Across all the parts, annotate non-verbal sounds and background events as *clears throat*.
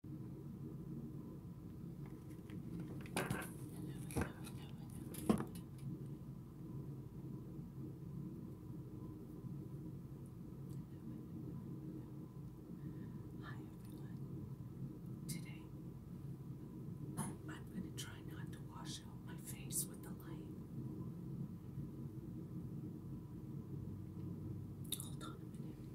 Hi everyone. Today I'm going to try not to wash out my face with the light. Hold on a minute.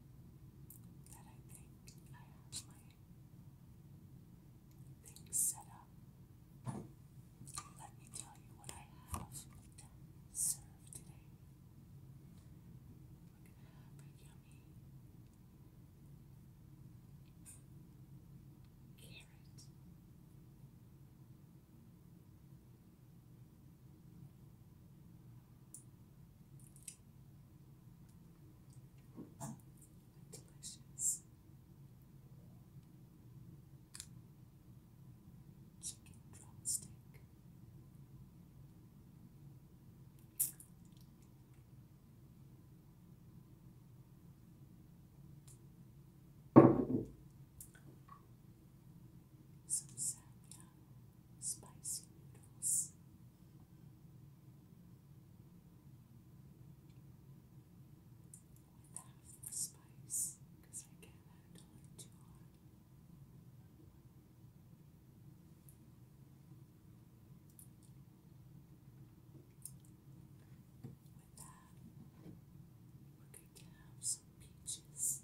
that I think I have my things set up. Let me tell you what I have to serve today. We're yummy carrot. Delicious chicken drumstick. Some salmon, spicy noodles, with half spice because I can't handle it too hot. With that, we're going some Peaches.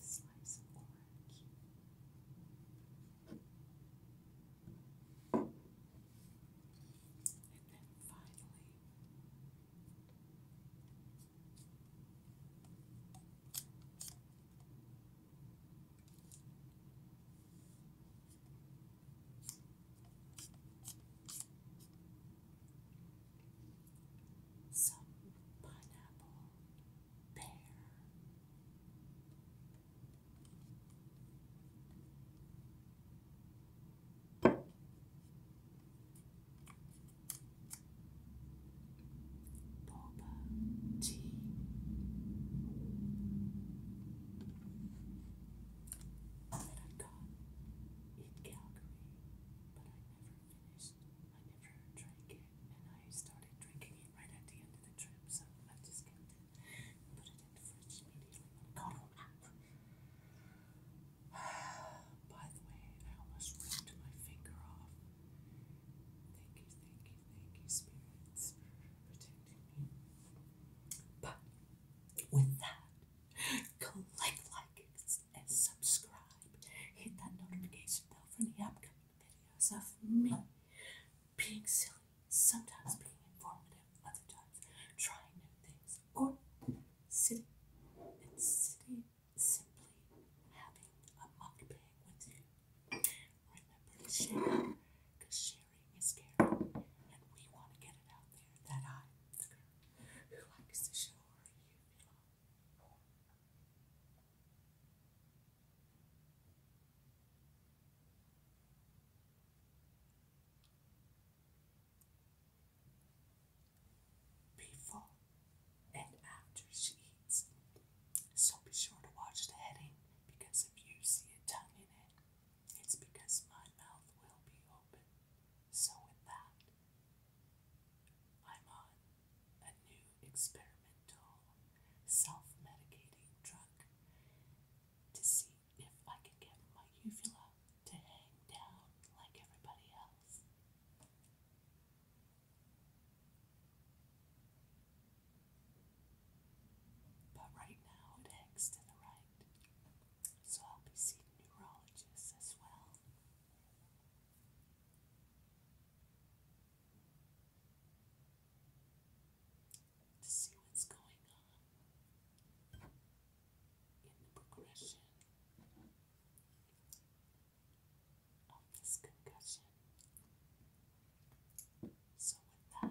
Slice of orange. And then finally, some pineapple pear. Boba tea. I got in Calgary, but I never finished. I never drank it, and I started drinking it right at the end of the trip, so I just kept it, put it in the fridge immediately when I got *sighs* By the way, I almost ripped my finger off. Thank you, thank you, thank you, spirits, for protecting me. But with that, click like and subscribe. Hit that notification bell for the upcoming videos of me being silly, sometimes being informative, other times trying new things, or sitting and sitting simply having a mukbang with you. Remember to share, because sharing is caring, and we want to get it out there that I'm the girl who likes to show her you belong before and after she eats. So be sure to watch the heading because if you see a tongue in it, it's because my mouth will be open. So with that, I'm on a new experimental self-medicating drug to see if I can get my uvula to hang down like everybody else. But right now it heads to the right, so I'll be seeing neurologists as well. To see what's going on in the progression of this concussion. So, with that, let me shut up.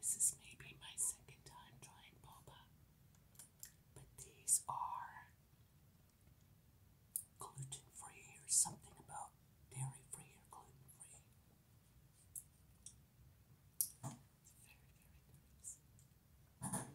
This is maybe my second time trying boba, but these are gluten free or something about dairy free or gluten free. Very, very nice.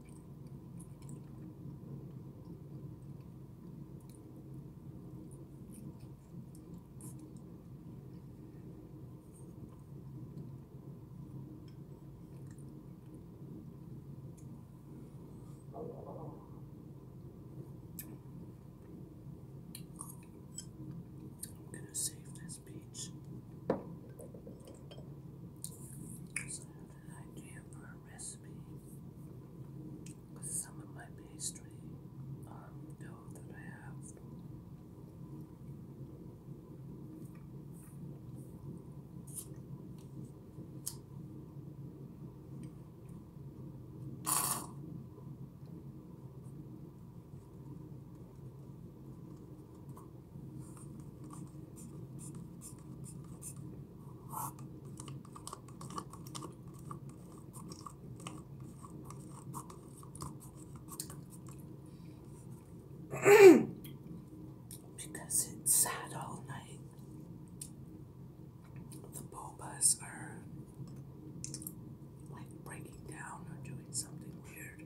I'm going to save this peach because I have an idea for a recipe with some of my pastry dough that I have. *clears throat* because it's sad all night. The bulbas are like breaking down or doing something weird.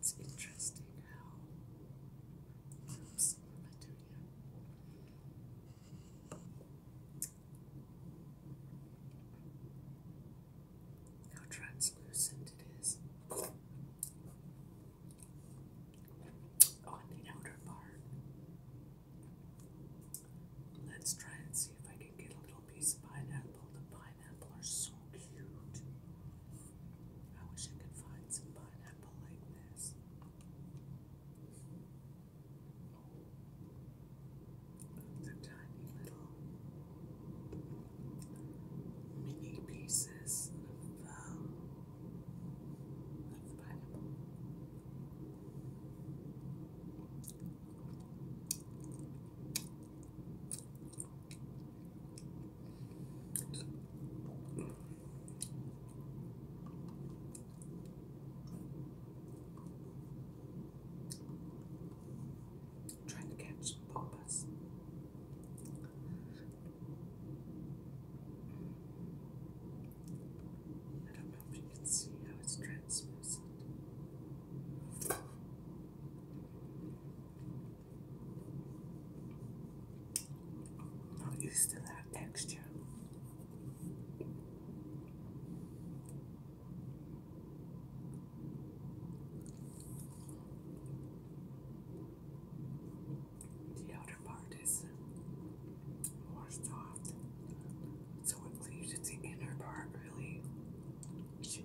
It's interesting how how translucent it is on oh, the outer part. Let's try and see if I can get a little piece of pineapple. The pineapple are so cute. I wish I could find some pineapple like this the tiny little mini pieces of, um, of pineapple. Trying to catch pompous. I don't know if you can see how it's translucent. Not used to that texture. The outer part is more soft, so it leaves its inner part really chewy.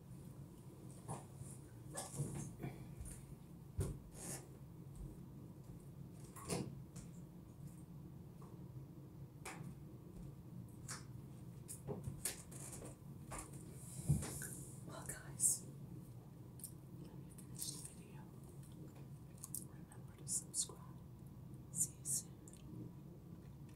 Well, guys, let me finish the video. Remember to subscribe. See you soon.